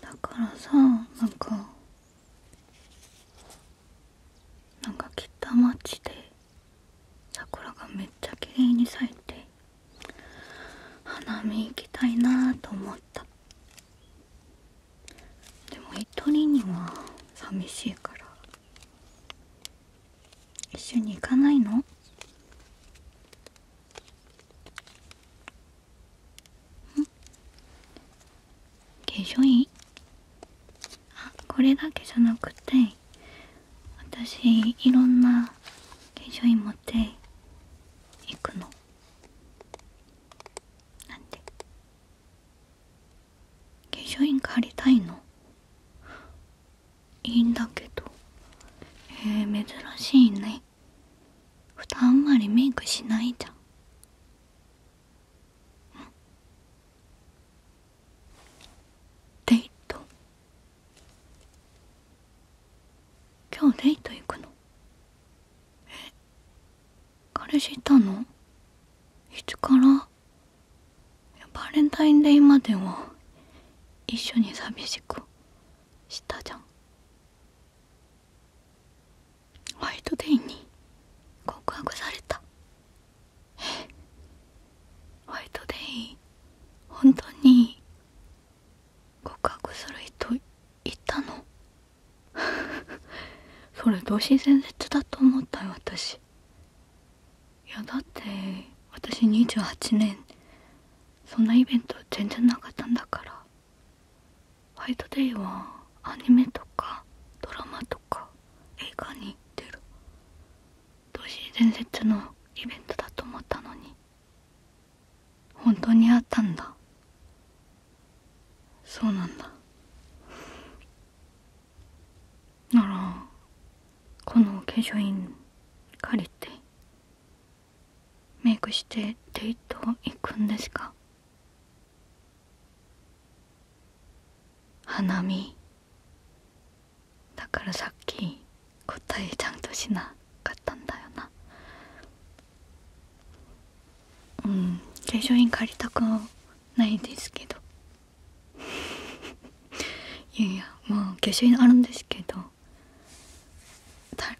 だからさなんかなんか北町で桜がめっちゃきれいに咲いて花見行きたいなと思ったでも一人には寂しいから一緒に行かないの化粧品あこれだけじゃなくて私いろんな化粧品持って行くのなんで化粧品借りたいのいいんだけどえー、珍しいねふたあんまりメイクしないじゃんデート今日デート行くのえ。彼氏いたのいつからバレンタインデーまでは一緒に寂しくしたじゃんホワイトデーに告白されたホワイトデー本当に告白する人いたの それ同心伝説だと思ったよ私いやだって私28年そんなイベント全然なかったんだからファイトデイはアニメとかドラマとか映画に行ってる同時伝説のイベントだと思ったのに本当にあったんだそうなんだならこの化粧品借りてメイクしてデート行くんですか花見だからさっき答えちゃんとしななったんだよなうん化粧品借りたくないですけど いやいやまあ化粧品あるんですけど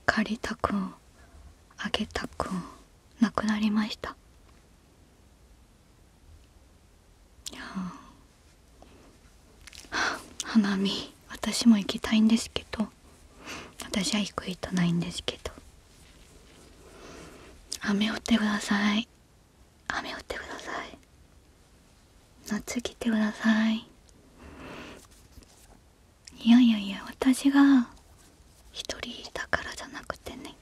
借りたくあげたくなくなりましたいや花見私も行きたいんですけど私は低いとないんですけど雨降ってください雨降ってください夏来てくださいいやいやいや私が一人だからじゃなくてね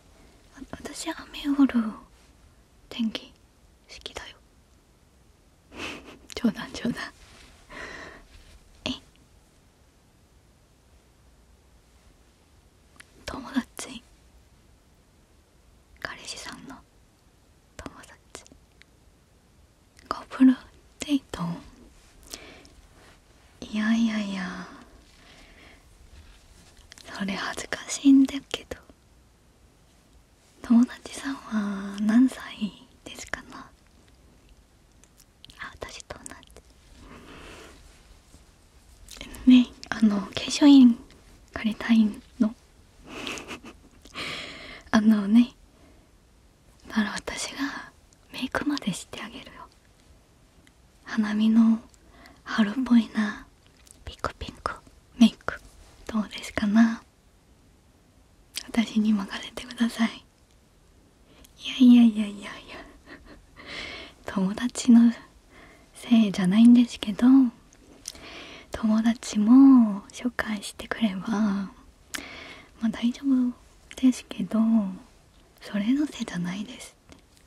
私雨降る天気好きだよ 冗談冗談え友達彼氏さんの友達コプルデートいやいやいやそれ恥ずかしいんだけど友達さんは何歳ですかなあ私と同じねあの化粧品借りたいの あのねなら私がメイクまでしてあげるよ花見の春っぽいなピクピクメイクどうですかな私に任せてくださいいやいやいやいやいや友達のせいじゃないんですけど友達も紹介してくればまあ大丈夫ですけどそれのせいじゃないです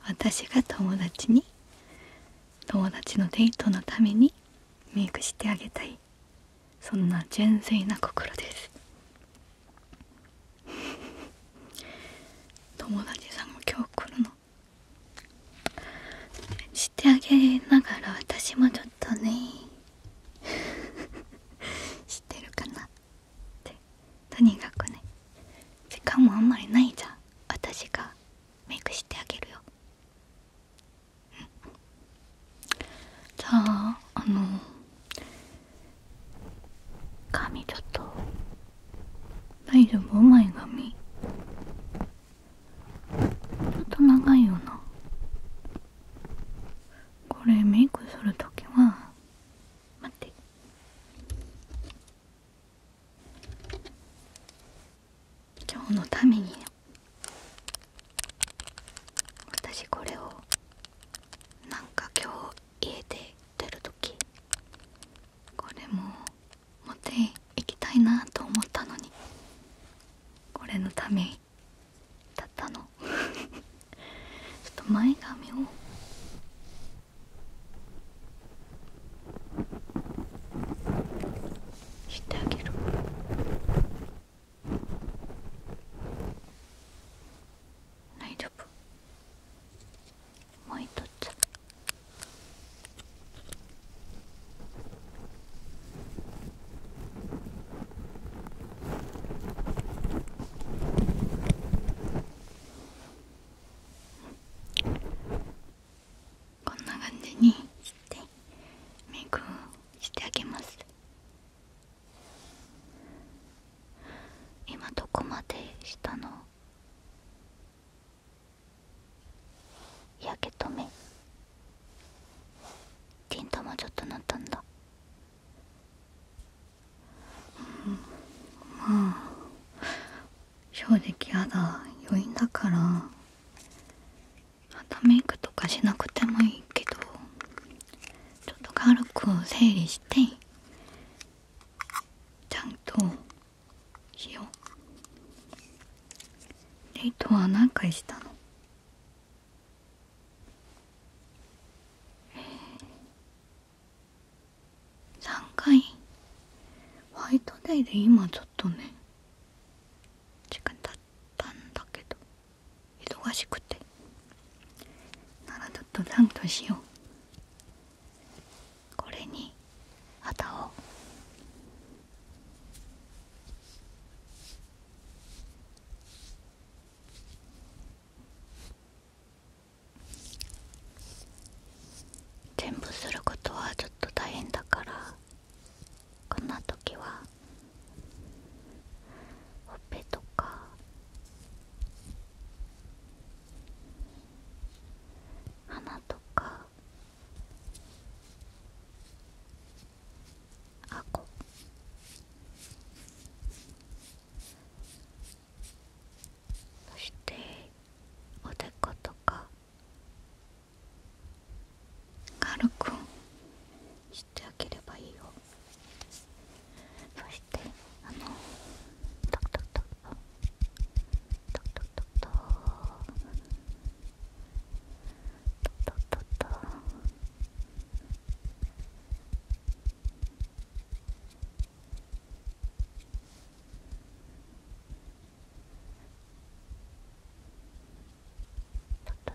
私が友達に友達のデートのためにメイクしてあげたいそんな純粋な心です 友達さんも今日来るのしてあげながら私もちょっとね知っ てるかなってとにかくね時間もあんまりないじゃん私がメイクしてあげるよ、うんじゃああの髪ちょっと大丈夫前髪ちょっと長いよなこれメイクするときは待って今日のためにね私これをなんか今日家で出る時これも持っていきたいなと思ったのにこれのためだったの ちょっと前髪をしてあげる。大丈夫もう一つこんな感じにしてメイクをしてあげます。今どこまでしたの焼け止めティントもちょっと塗ったんだうんまあ正直だ。余韻だからまたメイクとかしなくてもいいけどちょっと軽く整理してちゃんとしようデートは何回したの3回ホワイトデーで今ちょっとね時間経ったんだけど忙しくてならちょっとちゃんとしようこれに肌を全部することはちょっと大変だからこんな時はほっぺとか鼻とかあこそしておでことか軽くしてあげればいいよそしてあのトクトクトクトクトクトクトクトクトクトクトクトクト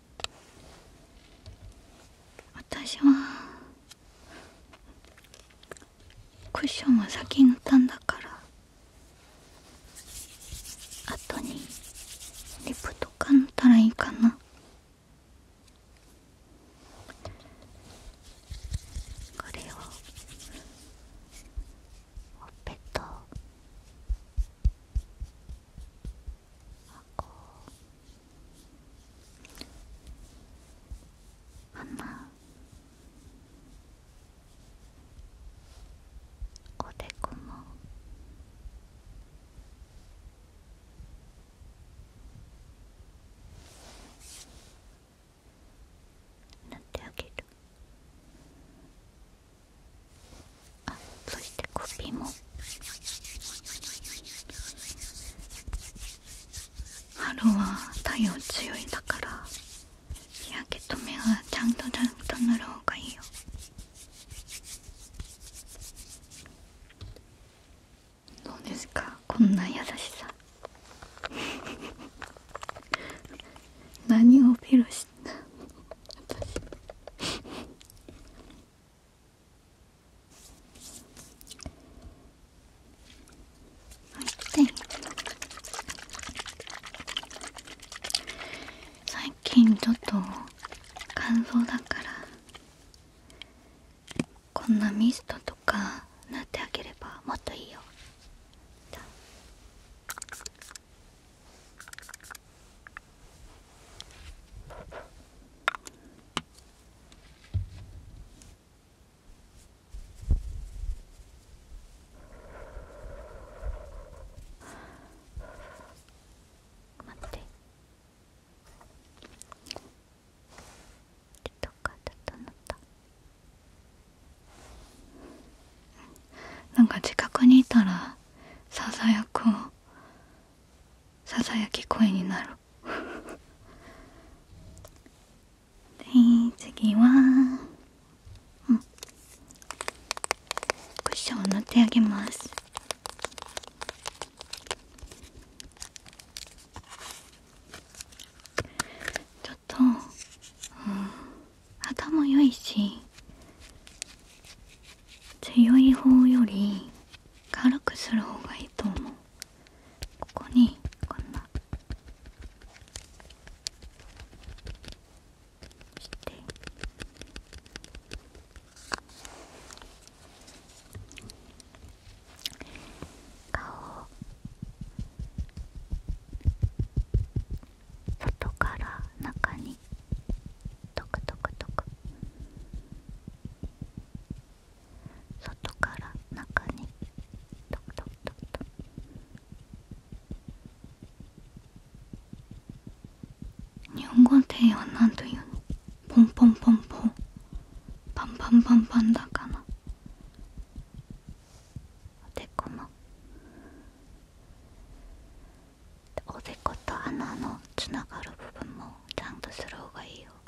私はクッションは先に塗ったんだから後にリップとか塗ったらいいかなこれをほっぺとこう鼻おでこも塗ってあげるあそして首も春は太陽強いだから日焼け止めはちゃんとちゃんと塗る方がいいよどうですかこんな優しさ 何をフ披露したはいで最近ちょっと乾燥だからこんなミストとか塗ってあげればもっといいよ待かだっなんか近くにいたらささやくささやき声になるで次はクッションを塗ってあげますちょっと、うん、肌も良いし強い方より軽くする方がいいと思うここにこんなして顔外から中にトクトクトク。外から中にトクトクトクトク日本語では何というのポンポンポンポンパンパンパンパンだかなおでこのおでこと穴のつながる部分もちゃんとする方がいいよ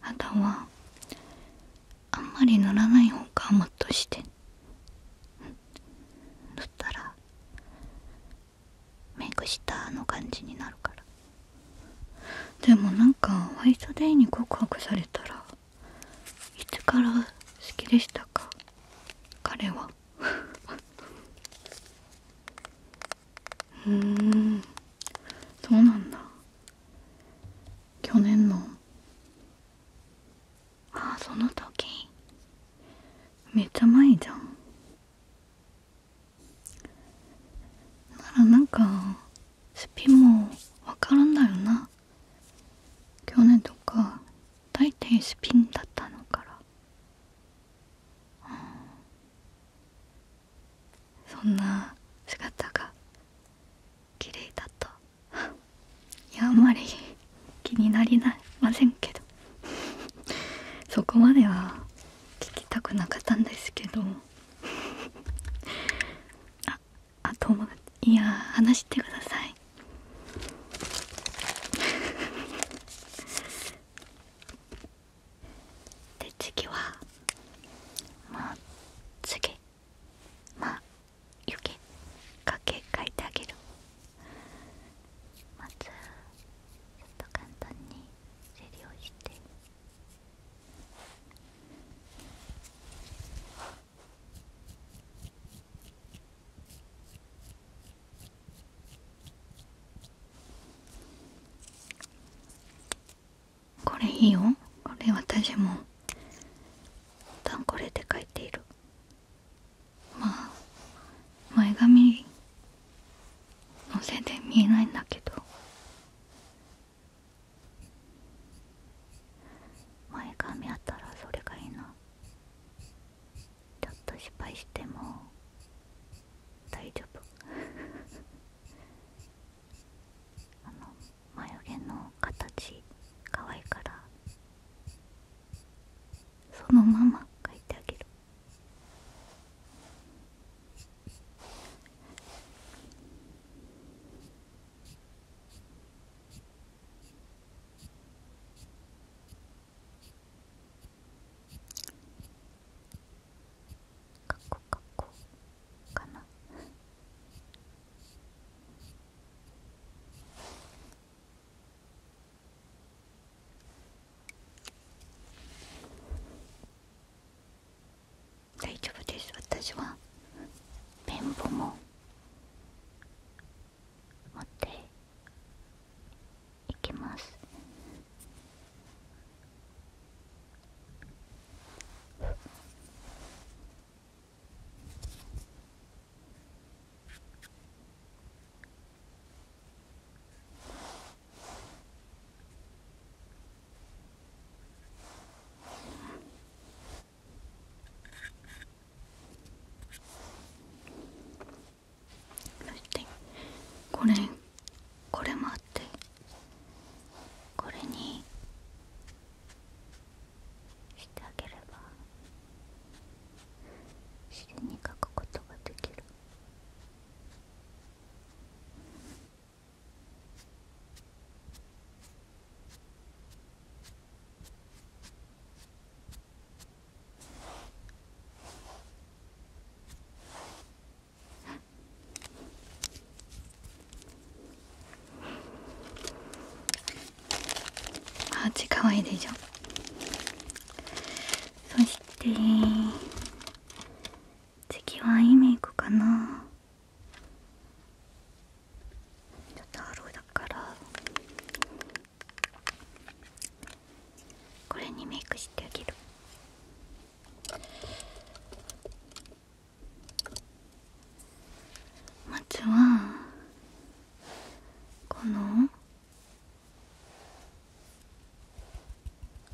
肌はあんまり塗らない方がもっとして塗ったらメイクしたの感じになるからでもなんかホワイトデーに告白されたらいつから好きでしたか彼は うーんそうなんだ去年のああその時めっちゃ前じゃんならなんかスピンもわからんだよな去年とか大抵スピンだったのから、うん、そんな姿が綺麗だったいやあんまり気になりなませんけどそこまでは聞きたくなかったんですけどああ友達いや話してくださいで次はまあ次まあ余計かけ書いてあげるまずちょっと簡単に整理をしてこれいいよこれ私もたんこれで書いているまあ前髪のせいで見えないんだけど前髪あったらそれがいいなちょっと失敗しても大丈夫あの眉毛の形可愛いからそのまま描いてあげるかっこかっこ。かな大丈夫です私はペンボも持っていきますそしてこれこれもあってこれにしてあげれば自然に書くことができるあっちかわいいでしょそして次はいいメイクかなちょっとアローだからこれにメイクしてあげるまずはこの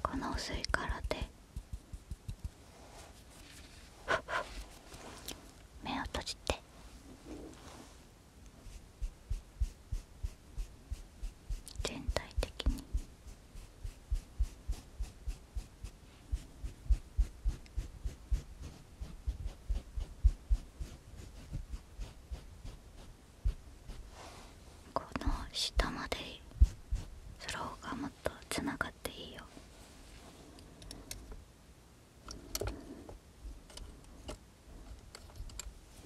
この薄い殻で目を閉じて全体的に。この下までそローがもっとつながっていいよ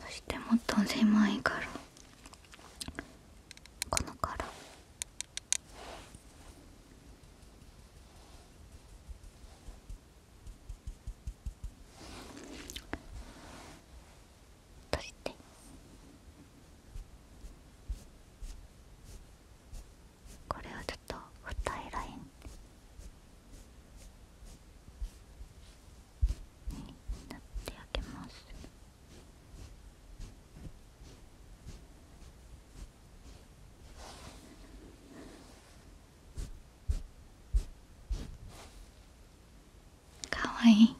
そしてもっと狭いからこのからそしてこれをちょっと二重ラインに塗ってあげます。かわいい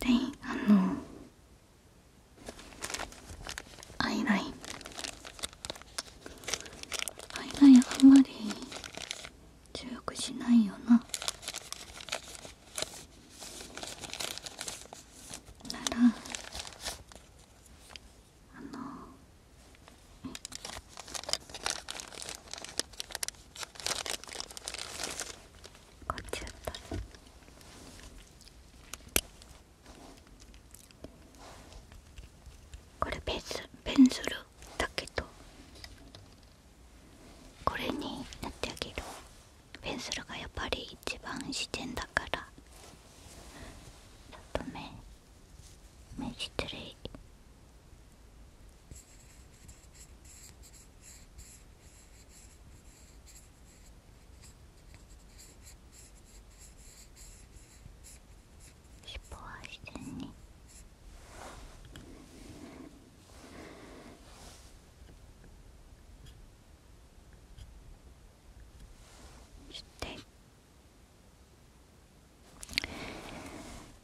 であのアイラインアイラインあんまり強くしないよなならあのこっちだったこれペンスペンスルだけどこれになってあげるペンスルがやっぱり一番自然だからちょっと目目失礼こ尻尾は自然にして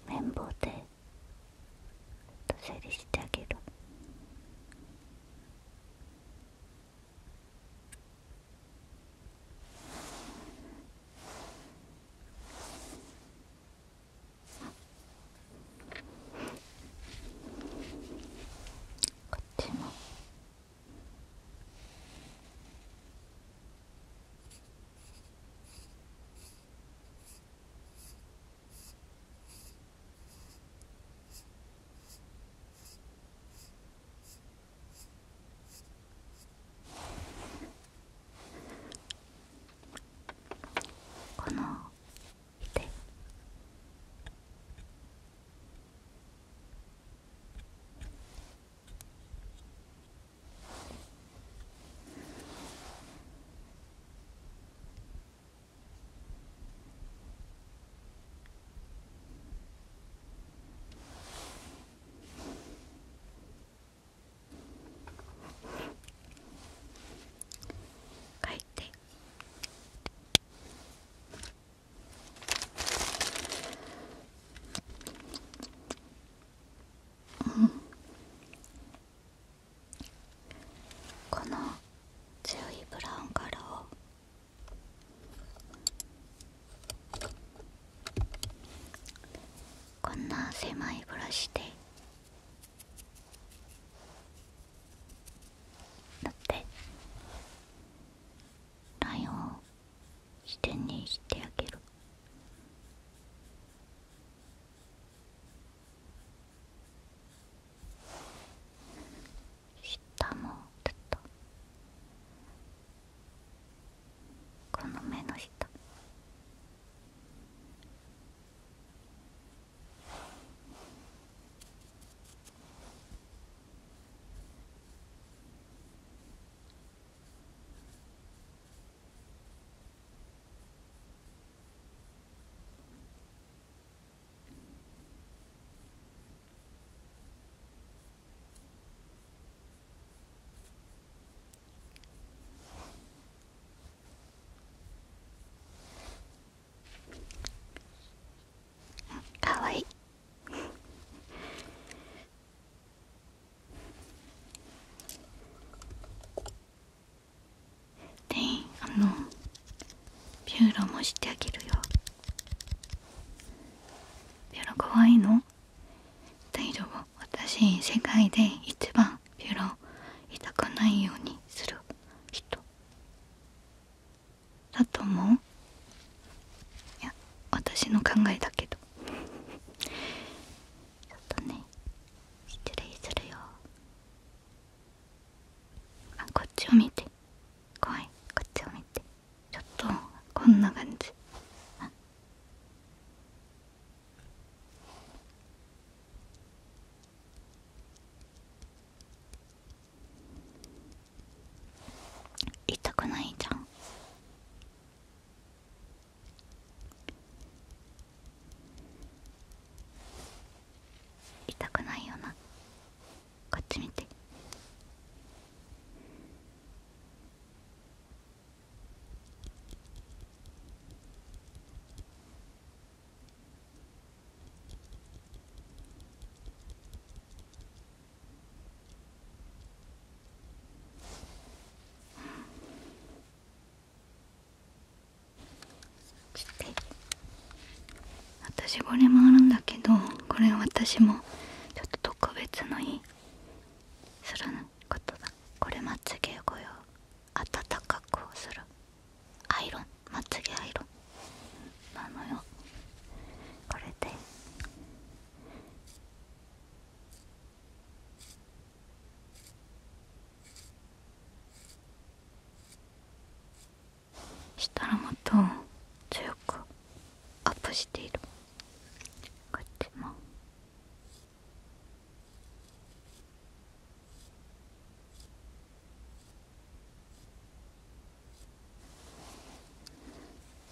綿棒で整理してあげる。こっちも。この手書いてうんこの強いブラウンカラーをこんな狭いブラシでだってラインを支点にしてあげる下もちっと。この目の人。かわいいであのピューロもしてあげるよピューロかわいいの私世界で一番ピュロ痛くないようにする人だと思ういや私の考えだけどちょっとね失礼するよあこっちを見て怖いこっちを見てちょっとこんな感じあ痛くないじゃん痛くないよなこっち見て私これもあるんだけどこれ私もちょっと特別のするのことだこれまつげご用暖かくをするアイロンまつげアイロンなのよこれでしたらもっと強くアップしているこうやっちも。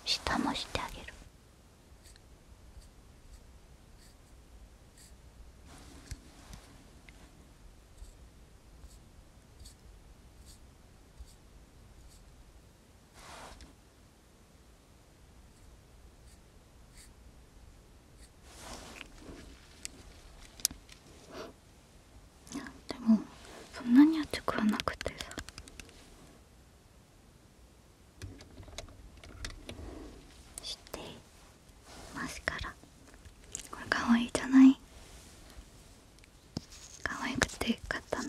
下もしてあげるいや、でもそんなに熱くはなくてさしてまスから。これかわいいじゃないかわいくて買ったの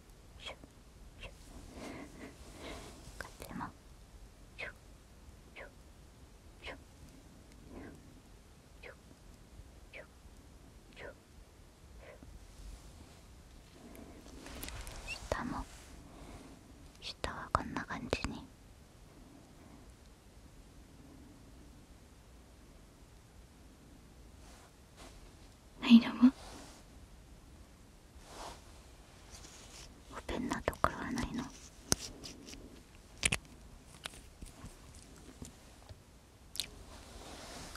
シュッシュッこっちもシュッシュッシュッシュッシュッシュッ下も下はこんな感じに。はいどうもオなところはないのこ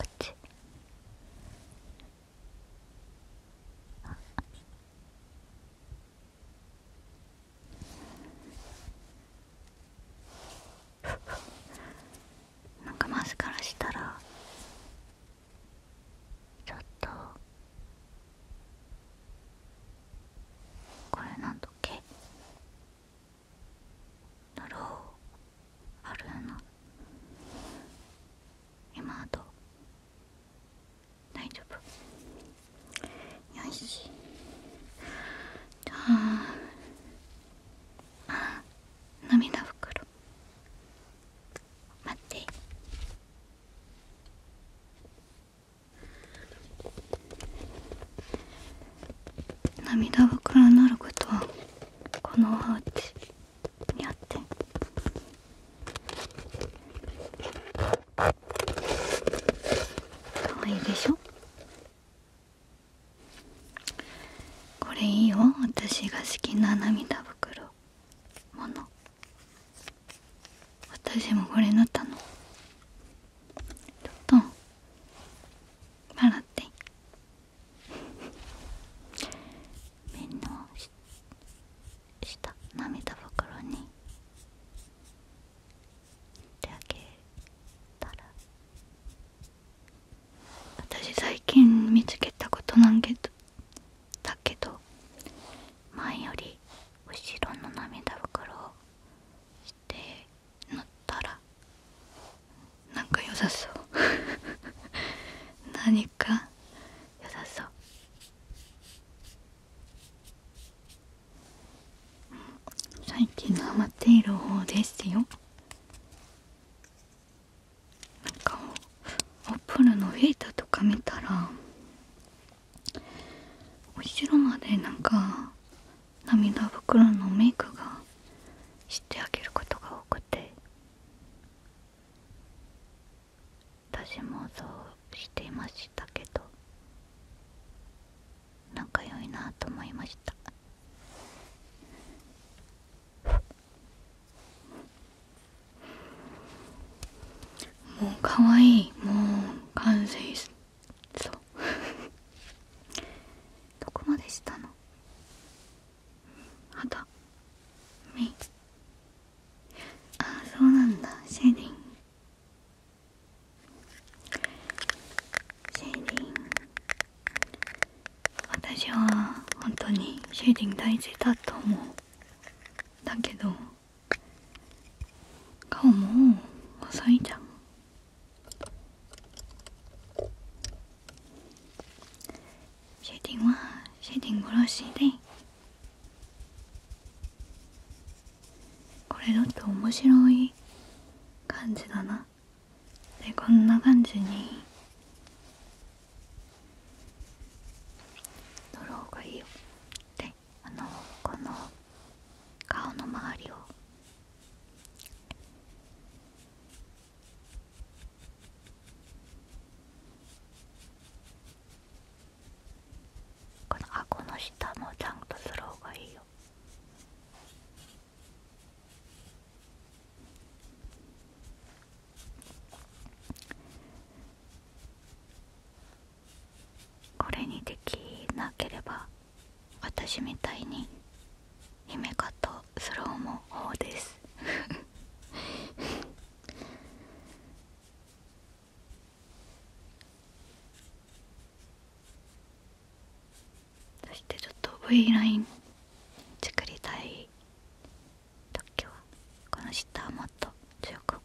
っちなんかマスからしたらちょっとこれなんだっけだろうあるな今あと大丈夫よしじゃああ涙袋待って涙袋になることはこのハウチにあってかわいいでしょこれいいよ私が好きな涙袋もの私もこれ塗ったのちょっと笑って面倒。の下涙袋に手あげたら私最近見つけたことなんけどだけど前より後ろの涙袋をして塗ったらなんか良さそう 何か良さそう、最近のハマっている方ですよなんかアップルのフベーターとか見たら後ろまでなんか涙袋のメイクがしてあげることが多くて私もそうしていましたけど仲良いなと思いましたもうかわいいもう完成そう どこまでしたの肌目あそうなんだシェーディングシェーディング私は本当にシェーディング大事だと思うだけど顔も細いじゃんシェディングはシェディング殺しでこれだって面白い感じだなでこんな感じに塗ろうがいいよであのこの顔の周りをこの顎の下もちゃんとすろうがいいよこれにできなければ私みたいに姫かとスローも方です そしてちょっと V ライン作りたい特許はこの下ッもっと強く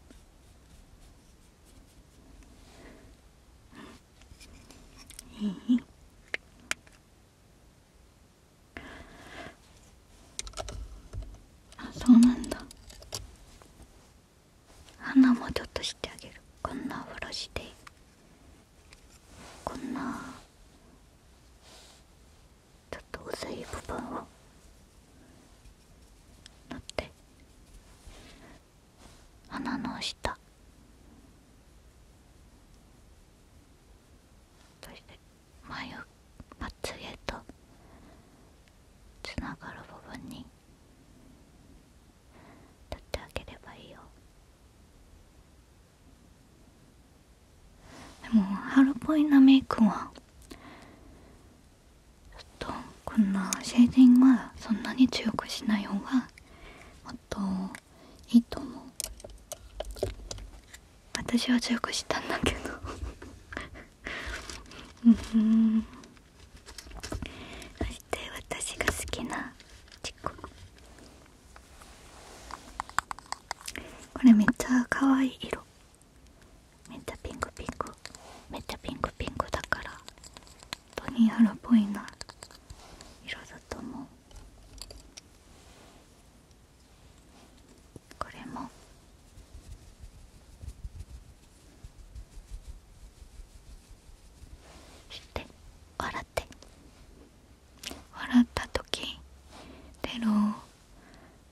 うんいいあそうなんだ花もちょっとしてあげるこんなブラシでこんなちょっと薄い部分を縫って鼻の下そして眉まつげとつながる部分に塗ってあげればいいよ。でも春っぽいなメイクはちょっとこんなシェーデングはそんなに強くしない方がもっといいと思う私は強くしたんだけどうんそして私が好きなチッこれめっちゃ可愛い色めっちゃピンクピンクめっちゃピンクピンクだからトニーハロっぽいな色だと思うこれもして笑って笑った時出る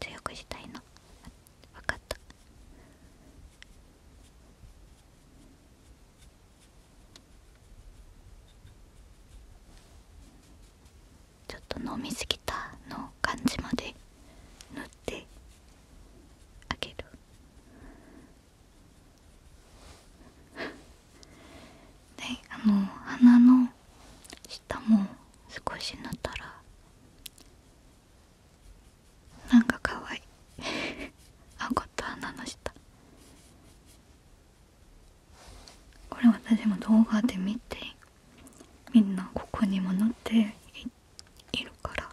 強くしたいの分かったちょっと飲みすぎたの感じまで塗ってあげるで あの鼻の下も少し塗ったらなんかかわいい顎と鼻のした。これ私も動画で見てみんなここにも乗っているから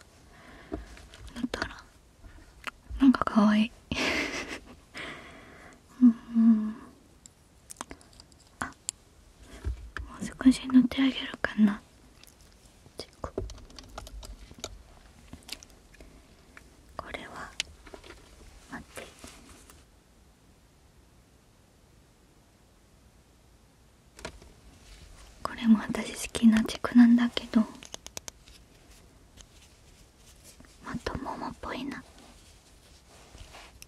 乗ったらなんかかわいい うんあもう少し塗ってあげるかなこれは待ってこれも私好きな軸なんだけどまと桃っぽいな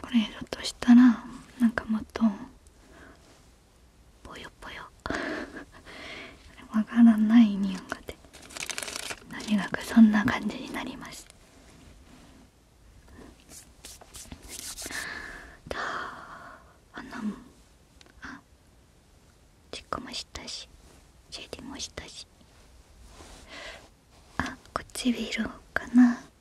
これひょっとしたらなんかもっとぽよぽよ わからない匂いがでとにかくそんな感じになりますああも。あチックもしたしシェディもしたしあ唇かな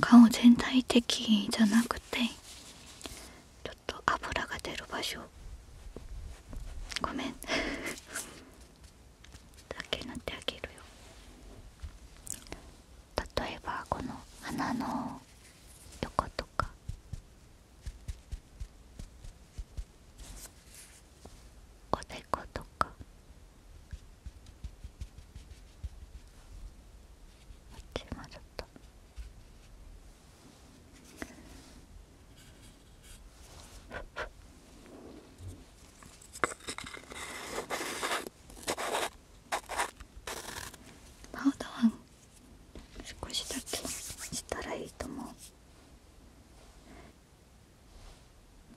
顔全体的じゃなくてちょっと油が出る場所ごめんだけ塗ってあげるよ例えばこの鼻のことかおでことかこっちもちょっとパウダー少しだけしたらいいと思う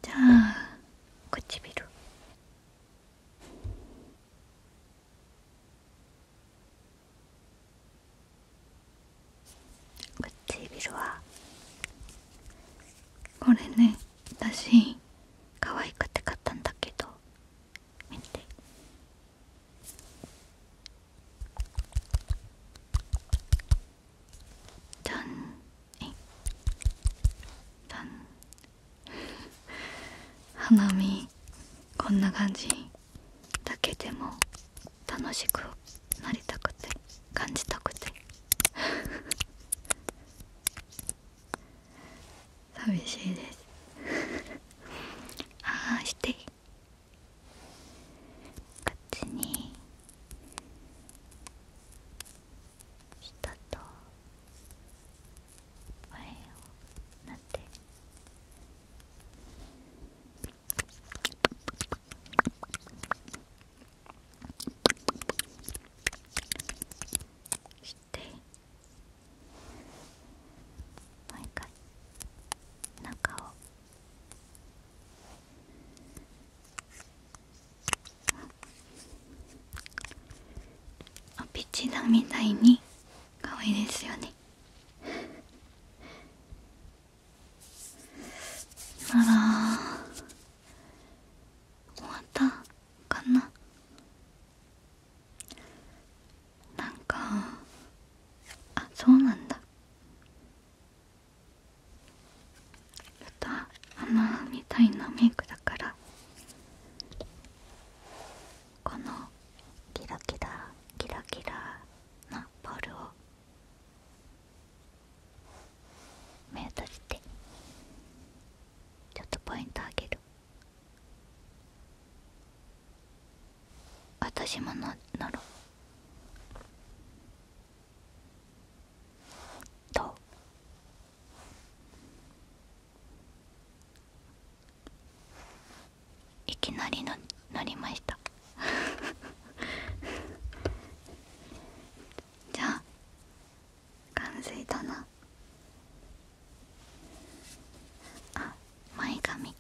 じゃあ唇唇はこれね私可愛くて買ったんだけど見てじゃんえじゃん花見こんな感じだけでも楽しくなりたくて感じたくて 寂しいです ああしてこっちに下と前をなってして毎回中をおピチナみたいに可愛いですよねあら終わったかななんかあそうなんだ歌、ょっとみたいなメイクだからこのキラキラキラキラなボールを目閉じてちょっとポイントあげる私もの乗ろういきなりの乗りましたじゃあ完成だなあ前髪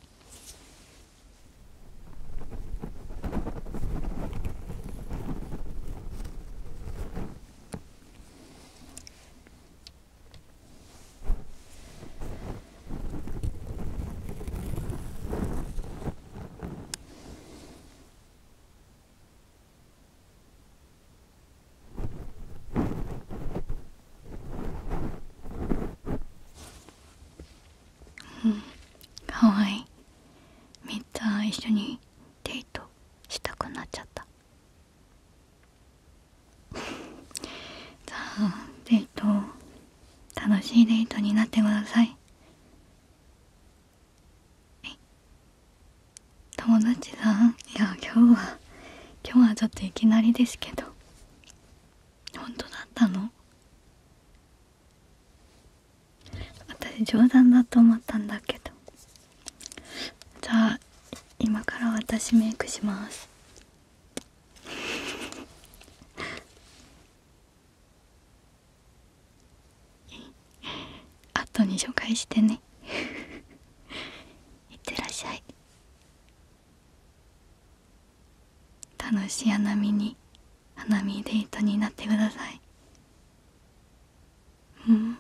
うんかわいいめっちゃ一緒にデートしたくなっちゃった じゃあデート楽しいデートになってください友達だいや今日は今日はちょっといきなりですけど本当だったの私冗談だと思ったんだけどじゃあ今から私メイクしますあ後に紹介してねい ってらっしゃい楽しい花見に花見デートになってくださいうん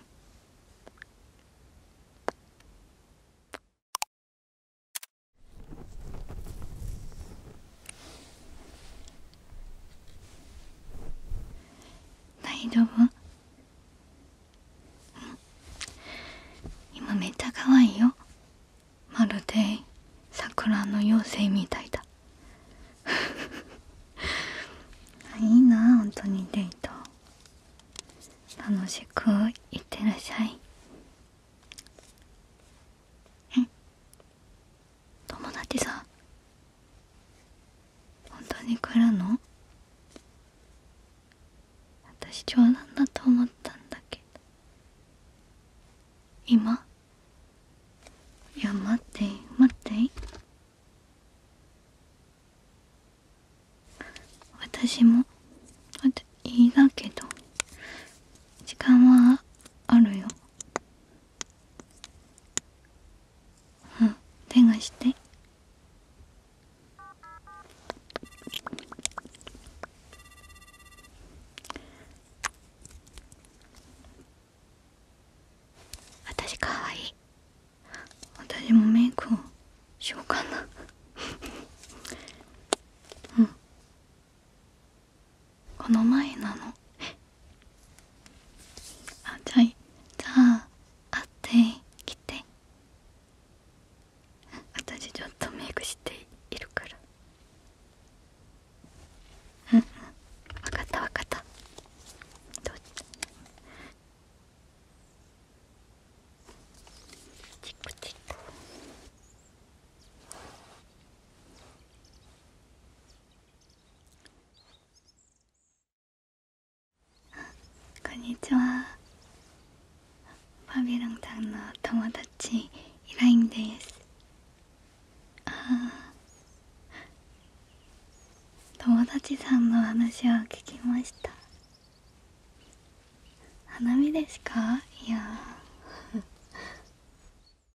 ないだわ今めっちゃ可愛いよまるで桜の妖精みたいだ いいな本当にデート楽しくいってらっしゃいえ友達さ本当に来るの私冗談だと思ったんだけど今いや待って待って私もあといいだけど時間はあるようん手がして私かわいい私もメイクをしようかなうんこの前なのあじゃあじゃあ会ってきて私ちょっとメイクしているからうん分かった分かったどうチクチクこんにちはバビロンちゃんの友達イラインですあ友達さんの話を聞きました花見ですかいや